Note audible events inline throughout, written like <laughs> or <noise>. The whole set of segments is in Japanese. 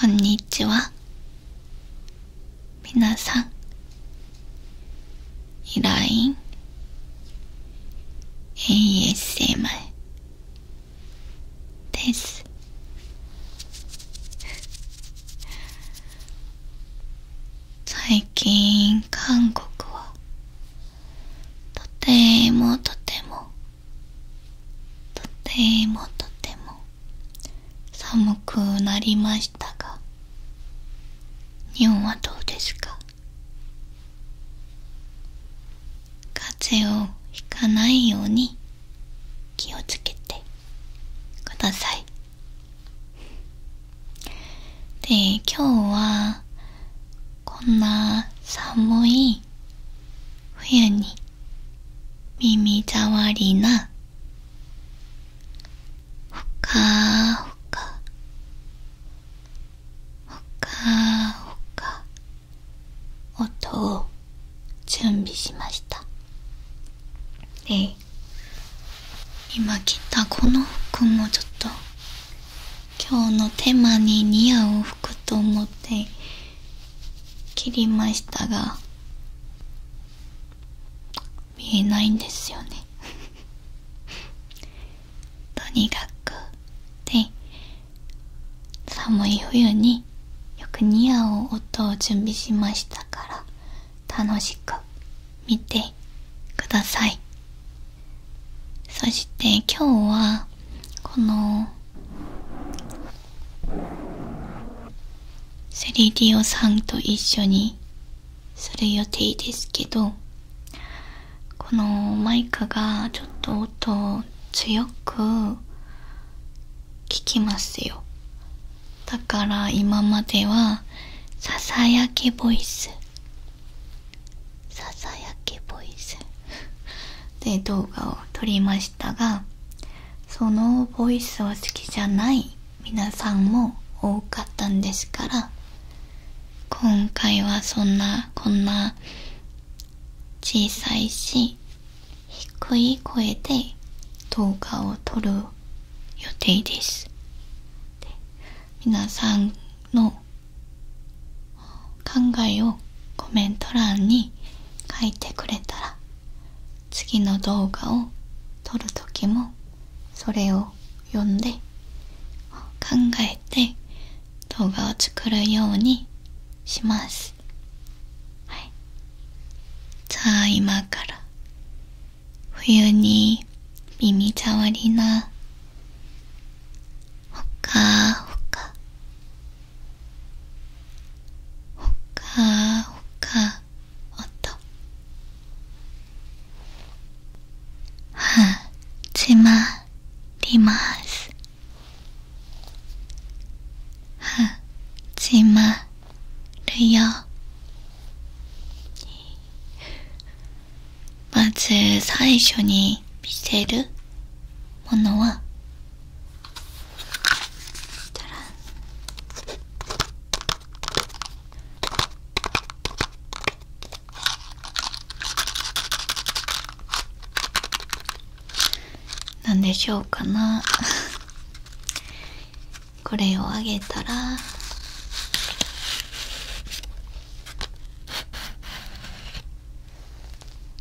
こんにちは皆さんライン、ASMR です最近韓国はとてもとてもとてもとても寒くなりました。日本はどうですか風邪をひかないように気をつけてくださいで今日はこんな寒い冬に耳障りなほかほかほか音を準備しましたで今着たこの服もちょっと今日のテーマに似合う服と思って切りましたが見えないんですよね <laughs> とにかくで寒い冬によく似合う音を準備しましたから楽しく見てくださいそして今日はこのセ 3D オさんと一緒にする予定ですけどこのマイクがちょっと音を強く聞きますよだから今まではささやきボイスささやきボイスで動画を撮りましたがそのボイスは好きじゃない皆さんも多かったんですから今回はそんなこんな小さいし低い声で動画を撮る予定ですで皆さんの考えをコメント欄に書いてくれたら次の動画を撮る時もそれを読んで考えて動画を作るようにしますはいじゃあ今から冬に耳障りなほかほかほかほかおっと始まります始まるよまず最初に見せるものはなんでしょうかな <laughs> これをあげたら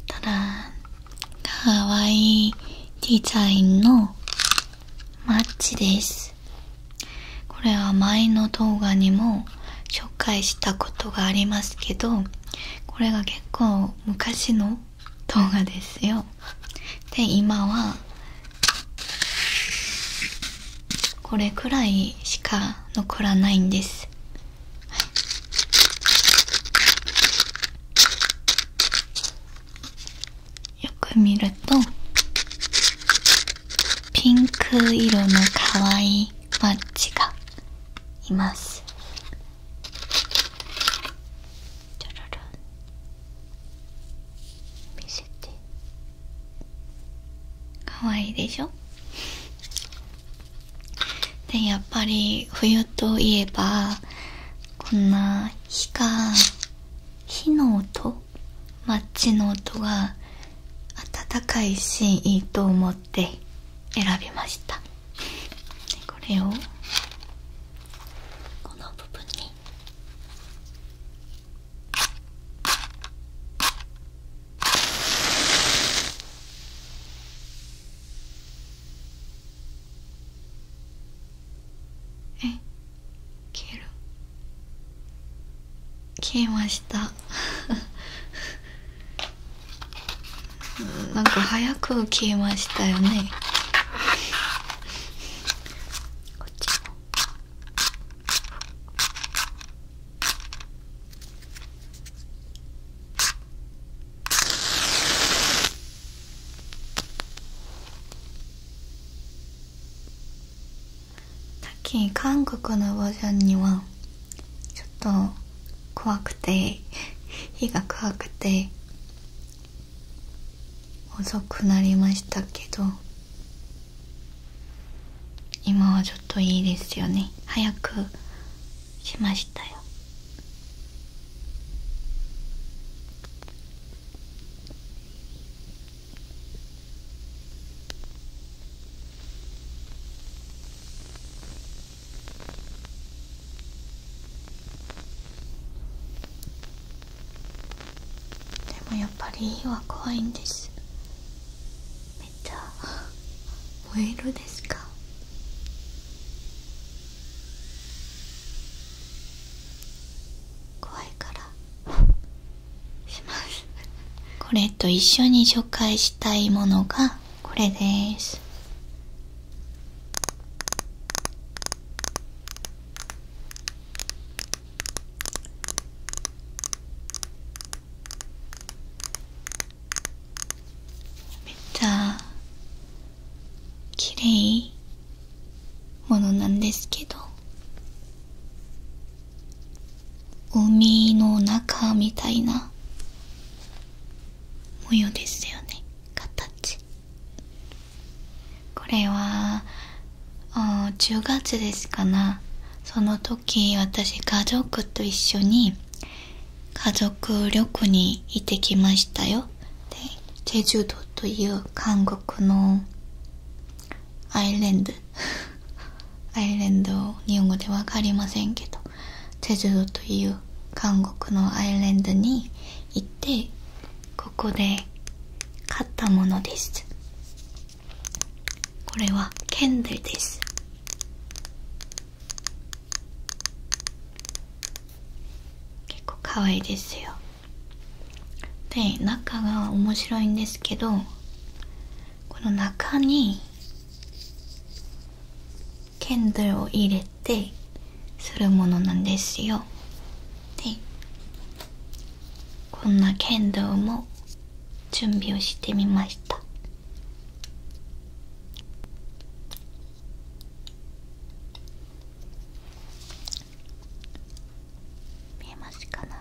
たらかわいいデザインのマッチですこれは前の動画にも紹介したことがありますけどこれが結構昔の動画ですよで今はこれくらいしか残らないんです、はい、よく見るとピンク色のかわいいバッチがいますちょろろ見せてかわいいでしょでやっぱり冬といえばこんな火が火の音マッチの音が暖かいしいいと思って選びましたこれをこの部分にえ消える消えました <laughs> なんか早く消えましたよねこっちもさっき韓国のバージョンにはちょっと怖くて火 <laughs> が怖くて遅くなりましたけど今はちょっといいですよね早くしましたよでもやっぱり火は怖いんですめっちゃ燃えるですか怖いからしますこれと一緒に紹介したいものがこれですめっちゃきれいものなんですけど海の中みたいな模様ですよね形これはあ10月ですかなその時私家族と一緒に家族旅行に行ってきましたよでチェジュ島という韓国のアイレンド <laughs> アイレンド日本語で分かりませんけどチェジュという韓国のアイレンドに行ってここで買ったものですこれはケンデルです結構かわいいですよで中が面白いんですけどこの中に剣道を入れてするものなんですよでこんな剣道も準備をしてみました見えますかな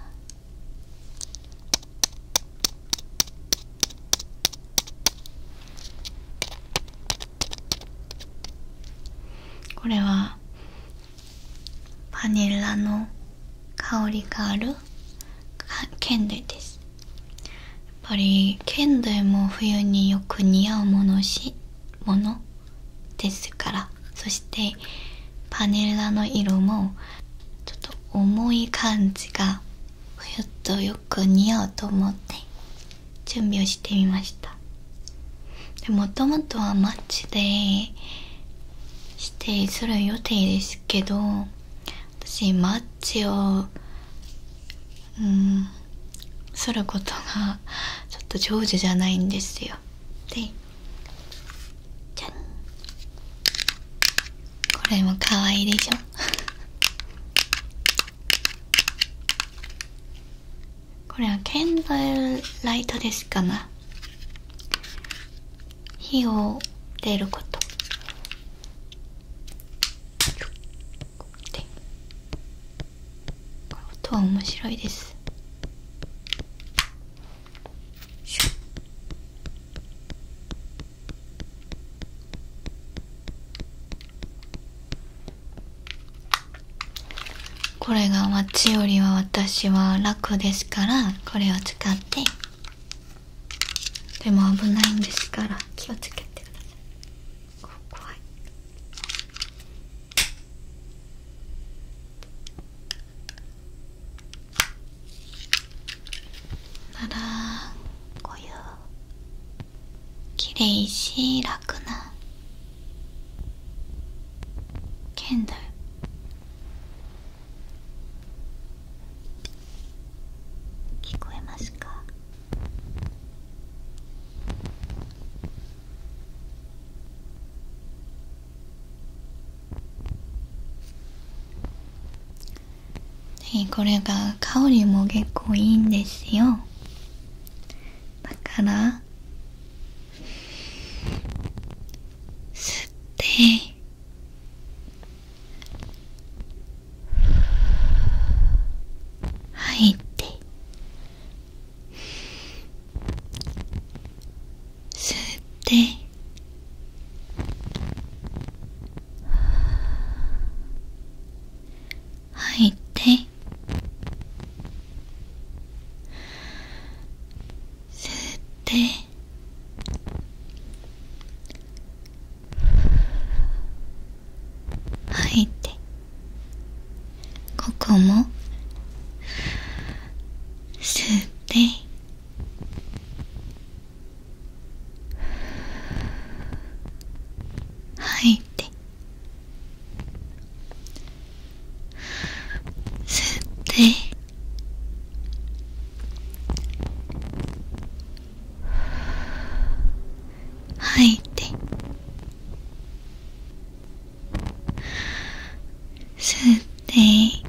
これはバニラの香りがある県内ですやっぱり県内も冬によく似合うものですからそしてバニラの色もちょっと重い感じが冬とよく似合うと思って準備をしてみましたでもともとはマッチで指定する予定ですけど私マッチをうんすることがちょっと上手じゃないんですよでじゃこれもかわいいでしょ <laughs> これはケンドルライトですかな火を出ることで音は面白いですこれがマッよりは私は楽ですからこれを使ってでも危ないんですから気をつけてくださいこ怖いならこういうきれいし楽な剣だよ聞こえますかでこれが香りも結構いいんですよだから吸って吐いて吸ってはいて吸って吐いてここも吸って吐いて吸って吐いて吸って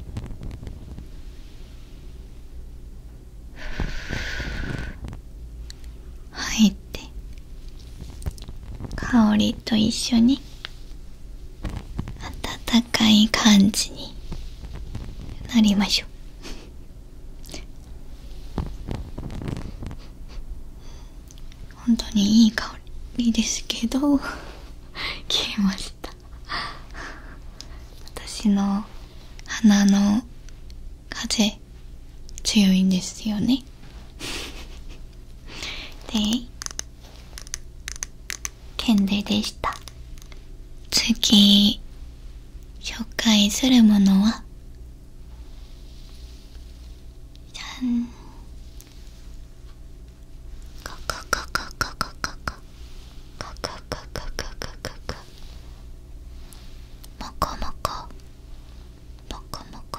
入って香りと一緒に温かい感じになりましょう。本当にいい香りですけど消えました私の鼻の風強いんですよね <laughs> でケンデでした次紹介するものはじゃんここここここここカカカカカカカカモコモコモコモコ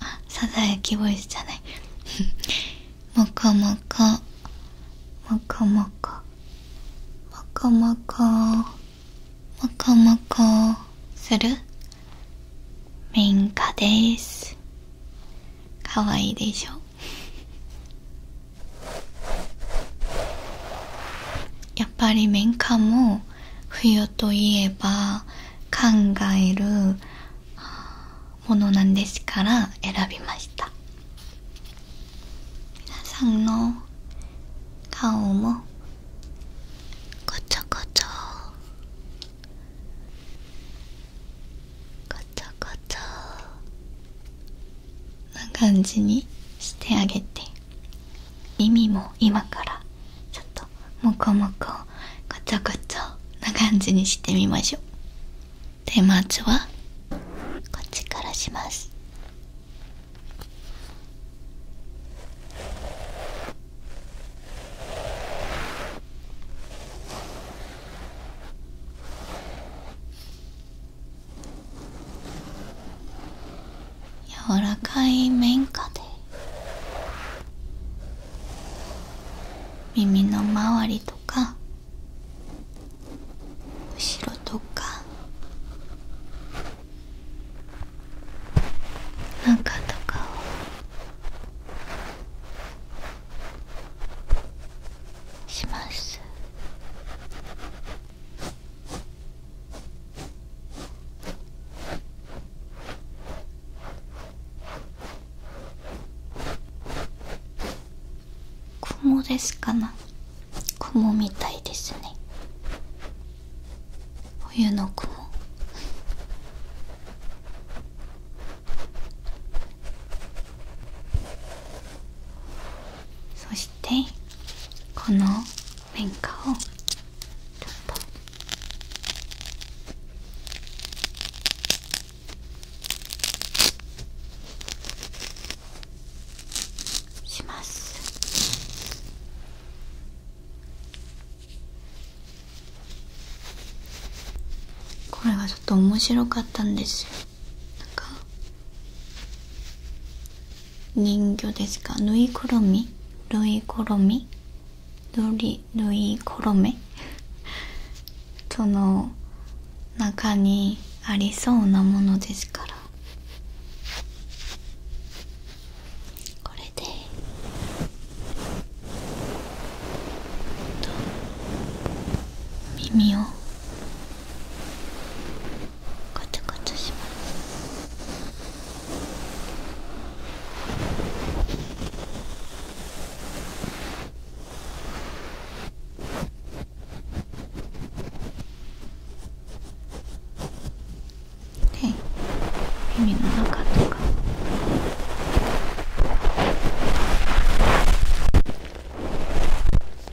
あさだやきボイスじゃないモコモコモコモコモコモコモコモコするメインですかわいいでしょやっぱり民家も冬といえば考えるものなんですから選びました皆さんの顔もごちょごちょごちょごちょこんな感じにしてあげて耳も今からちょっとモコモコごちょごちょな感じにしてみましょうでまずはこっちからします柔らかい綿花で耳の周りとか後ろとか中とかをします。雲ですかな雲みたいですね冬の雲そして。しこのこれがちょっと面白かったんですよか人魚ですか縫いくるみぬいくるみぬりぬいくるみその中にありそうなものですからこれでと耳をガチャガチャしますね耳の中とか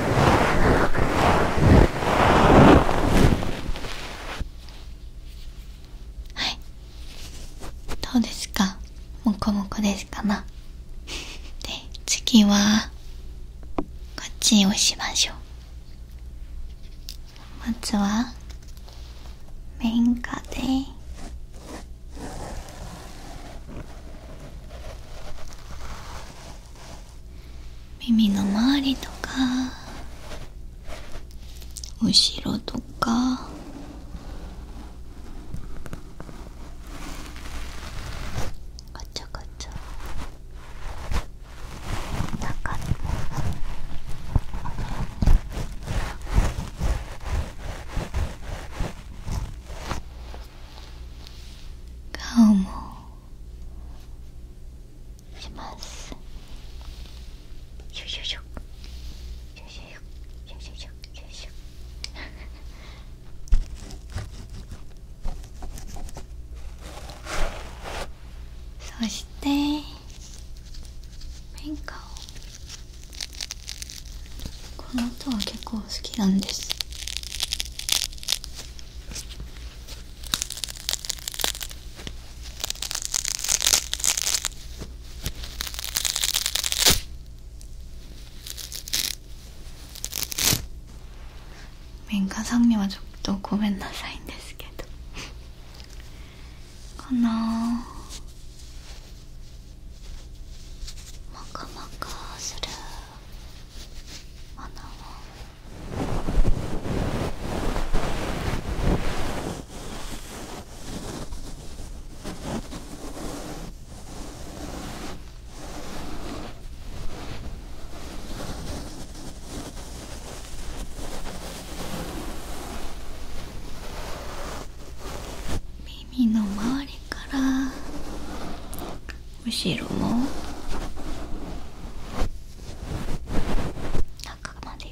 はいどうですかもこもこですかな <laughs> で次はこっちをしましょうまずは綿花で <laughs> 耳の周りとか後ろとかガチャガチャ中にも顔もしますそして変化をこの音は結構好きなんです민가상님아직도고멘나사인ですけどかなもかもかするもの耳の周りから後ろの。中まで。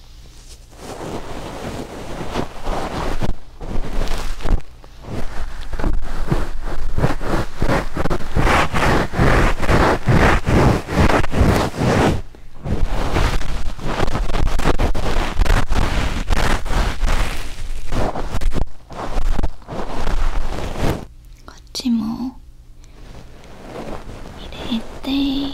こっちも入れて。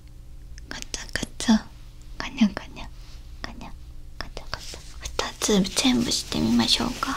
ガチャガチャガニャガニャガニャガチャガチャ2つ全部してみましょうか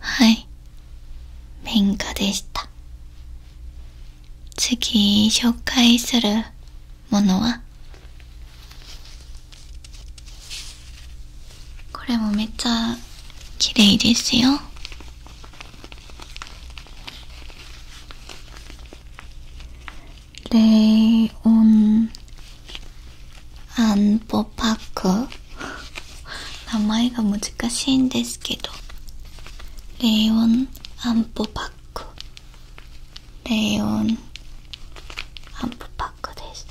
はい民家でした次紹介するものはこれもめっちゃきれいですよレオンアンポパック名前が難しいんですけどレオンアンポパックレオンアンポパックです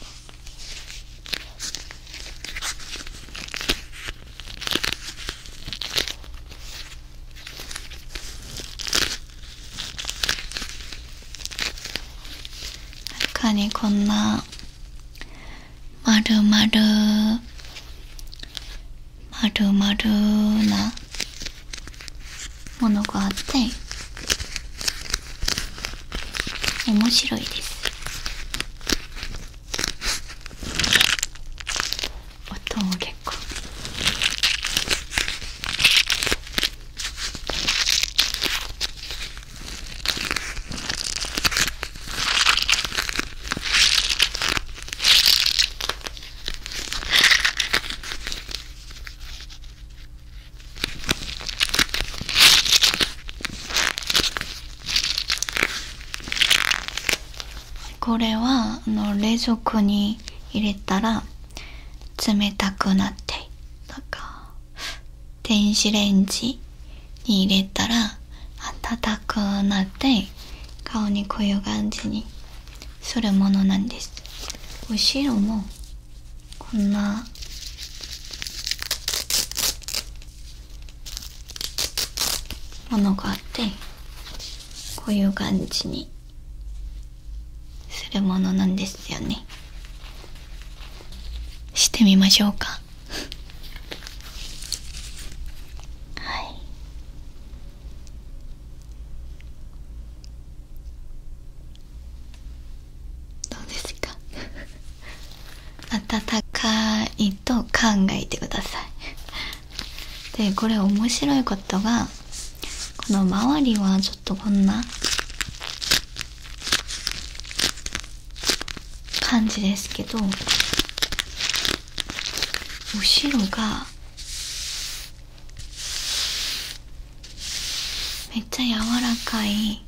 中にこんなまるまるまるまるなものがあって面白いです音も結構これは冷蔵庫に入れたら冷たくなってなんか電子レンジに入れたら暖くなって顔にこういう感じにするものなんです後ろもこんなものがあってこういう感じにするものなんですよねしてみましょうかはいどうですか温かいと考えてくださいでこれ面白いことがこの周りはちょっとこんな感じですけど後ろがめっちゃ柔らかい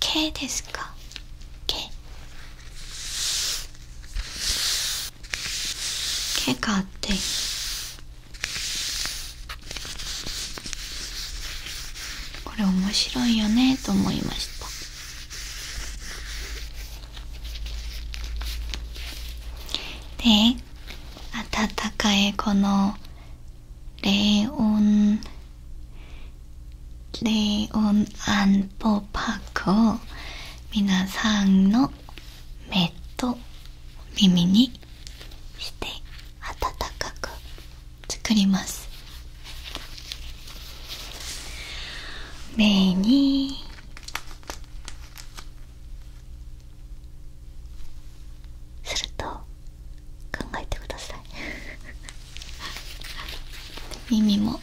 毛ですか毛毛があってこれ面白いよねと思いましたで温かいこのレオンレオンアンポパークを皆さんの目と耳にして暖かく作ります目にすると考えてください <laughs> 耳も耳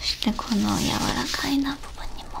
そしてこの柔らかいな部分にも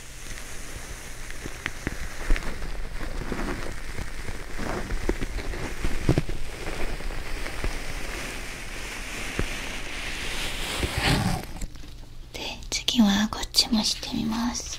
で次はこっちもしてみます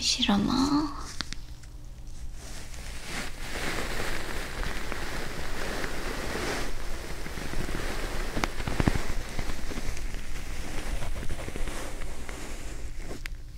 後ろも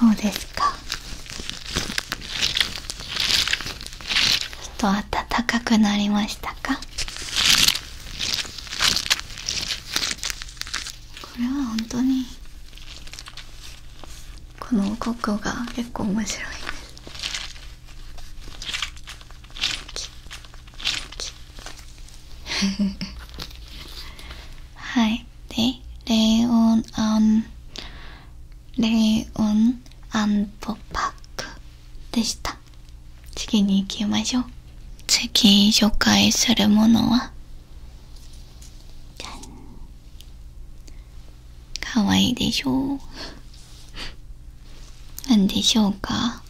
どうですかちょっと暖かくなりましたかこれは本当にこのココが結構面白いですキッキッはいでレオンアンレオンアンドパックでした次に行きましょう次紹介するものはかわいいでしょう何でしょうか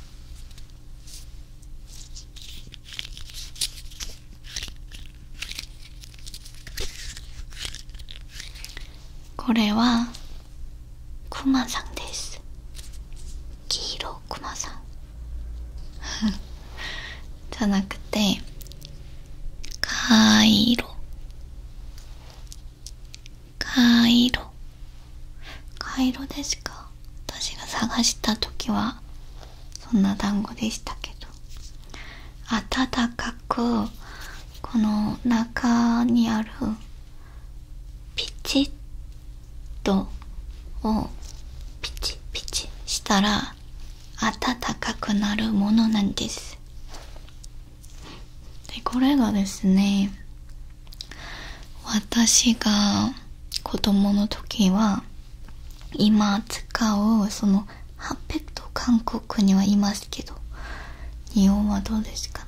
これはクマさんです黄色クマさんじゃなくてカイロカイロカイロですか私が探した時はそんな団子でしたけど暖かくこの中にあるピチッドをピチピチしたら暖かくなるものなんですでこれがですね私が子供の時は今使うその8ペッと韓国にはいますけど日本はどうですか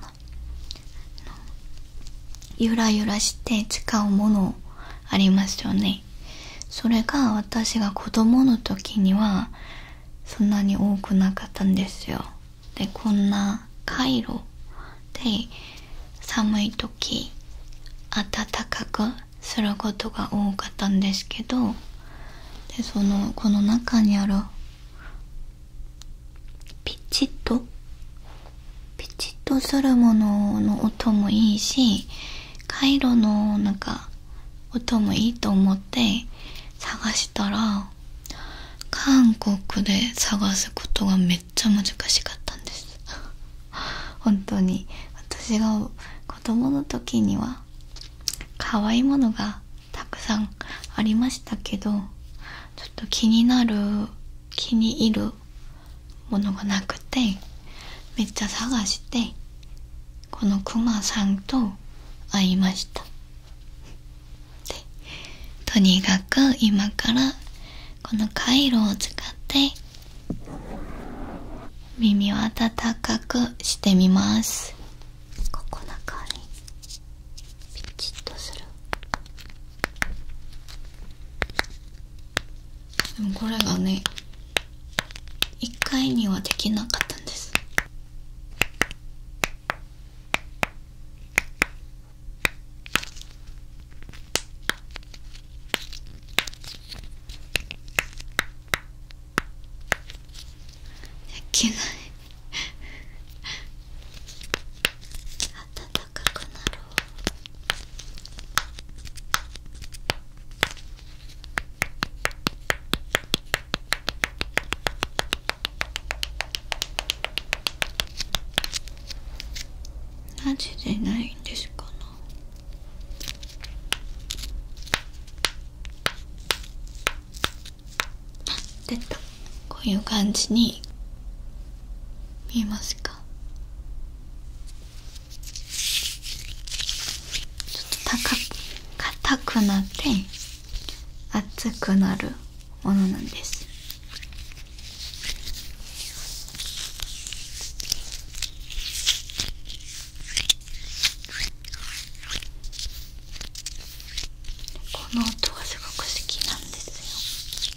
ゆらゆらして使うものありますよねそれが私が子供の時にはそんなに多くなかったんですよでこんなカイロで寒い時暖かくすることが多かったんですけどでそのこの中にあるピチッとピチッとするものの音もいいし回路のなんか音もいいと思って探したら韓国で探すことがめっちゃ難しかったんです <laughs> 本当に私が子供の時には可愛いものがたくさんありましたけどちょっと気になる気に入るうものがなくてめっちゃ探してこのクマさんと会いましたとにかく今からこのカイロを使って耳を温かくしてみますここ中にピチッとするでもこれがね1回にはできなかったんですできない <laughs> あったね高くなろマジでないんですかこういう感じに見えますかちょっと高、硬くなって熱くなるものなんですこの音がすごく好きなんですよ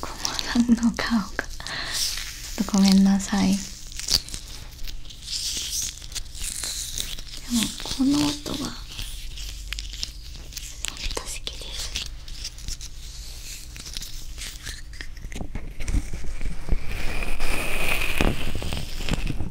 こまさんの顔がちょっとごめんなさいでもこの音が本当好きですこ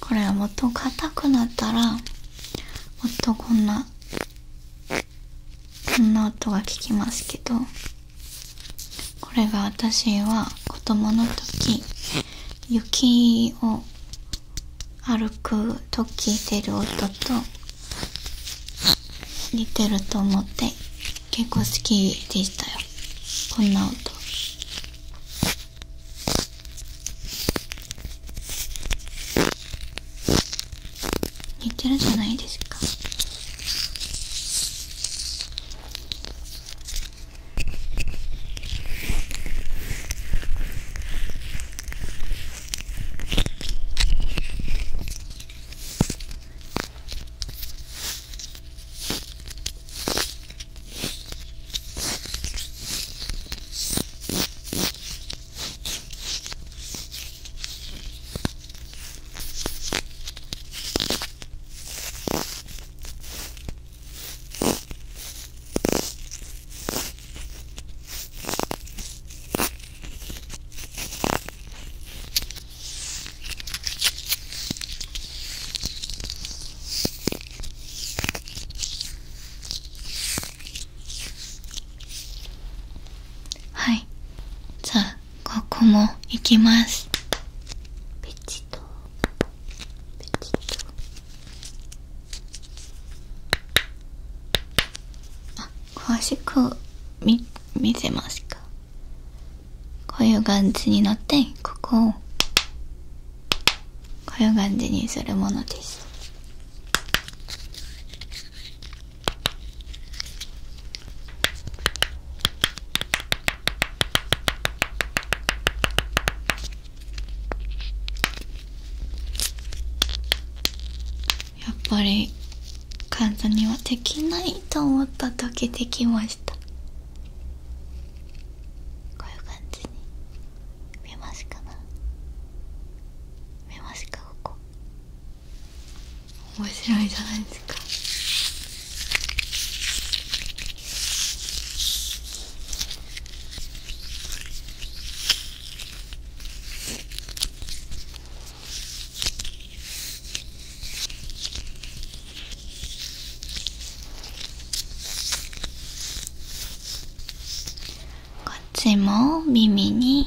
これはもっと硬くなったらもっとこんなこんな音が聞きますけど。これが私は子供の時雪を歩くと聞いてる音と似てると思って結構好きでしたよこんな音似てるじゃないですかはいじゃあここもいきます詳しく見見せますかこういう感じになってここをこういう感じにするものですやっぱり簡単にはできないと思った時できましたこういう感じに見ますかな見ますかここ面白いじゃないですかこっちも耳に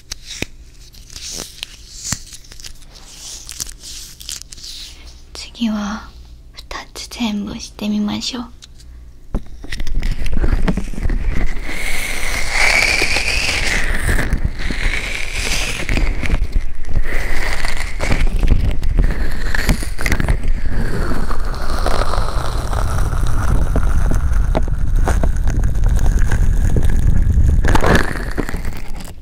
次は2つ全部してみましょう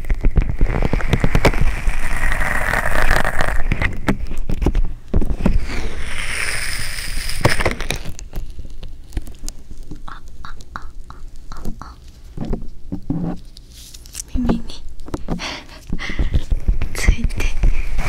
あああああ耳についてあ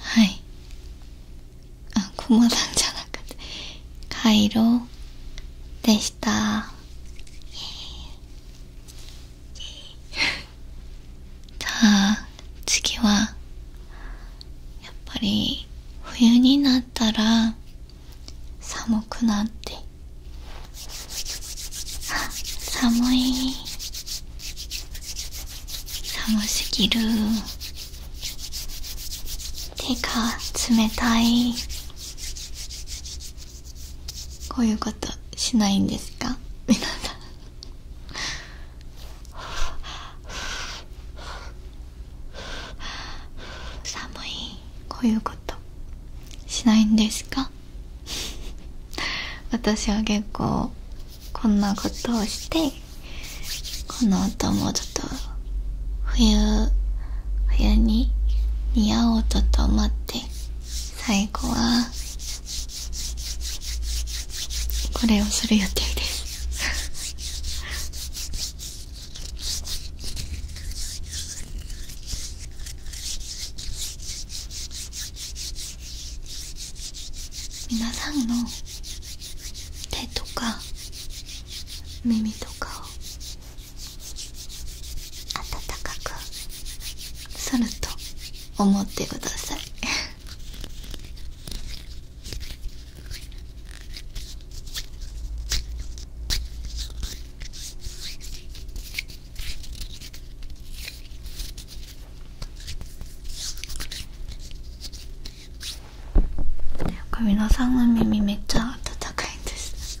はいあ駒さんじゃなくてカイロ。でした <laughs> じゃあ次はやっぱり冬になったら寒くなって <laughs> 寒い寒すぎるてか冷たいこういうことしないんですか皆さん寒いこういうことしないんですか私は結構こんなことをしてこの音もちょっと冬冬に似合う音と思って最後はこれをする予定です皆さんの手とか耳とかをかくすると思ってください <laughs> 皆さんの耳めっちゃ温かいんです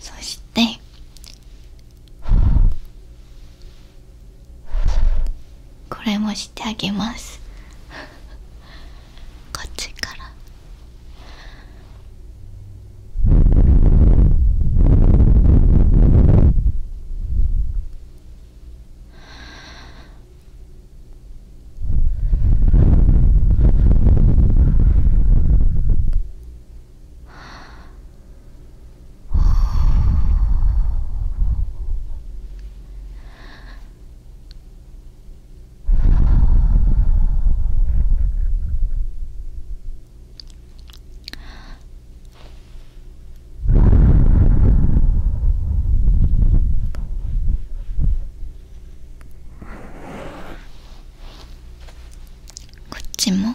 そしてこれもしてあげますこっちから。こっちも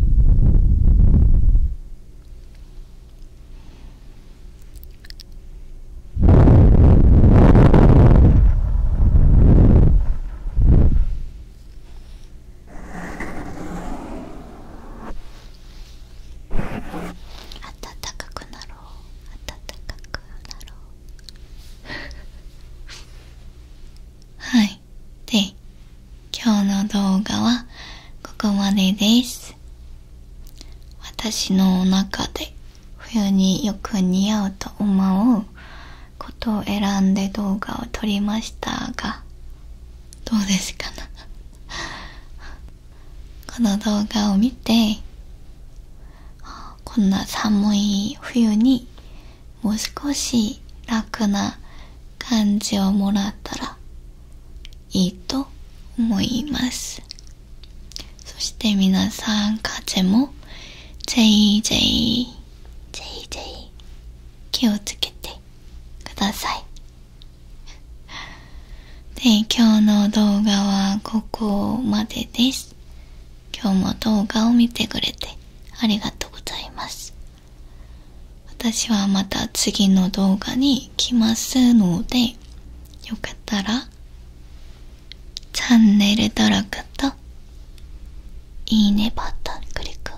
暖かくなろう暖かくなろうはい <laughs> で今日の動画はここまでです私の中で冬によく似合うと思うことを選んで動画を撮りましたがどうですかな <laughs> この動画を見てこんな寒い冬にもう少し楽な感じをもらったらいいと思いますそして皆さん風も JJJJ 気をつけてくださいで今日の動画はここまでです今日も動画を見てくれてありがとうございます私はまた次の動画に来ますのでよかったらチャンネル登録といいねボタンクリック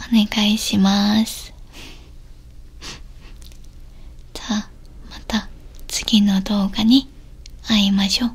お願いします <laughs> じゃあまた次の動画に会いましょう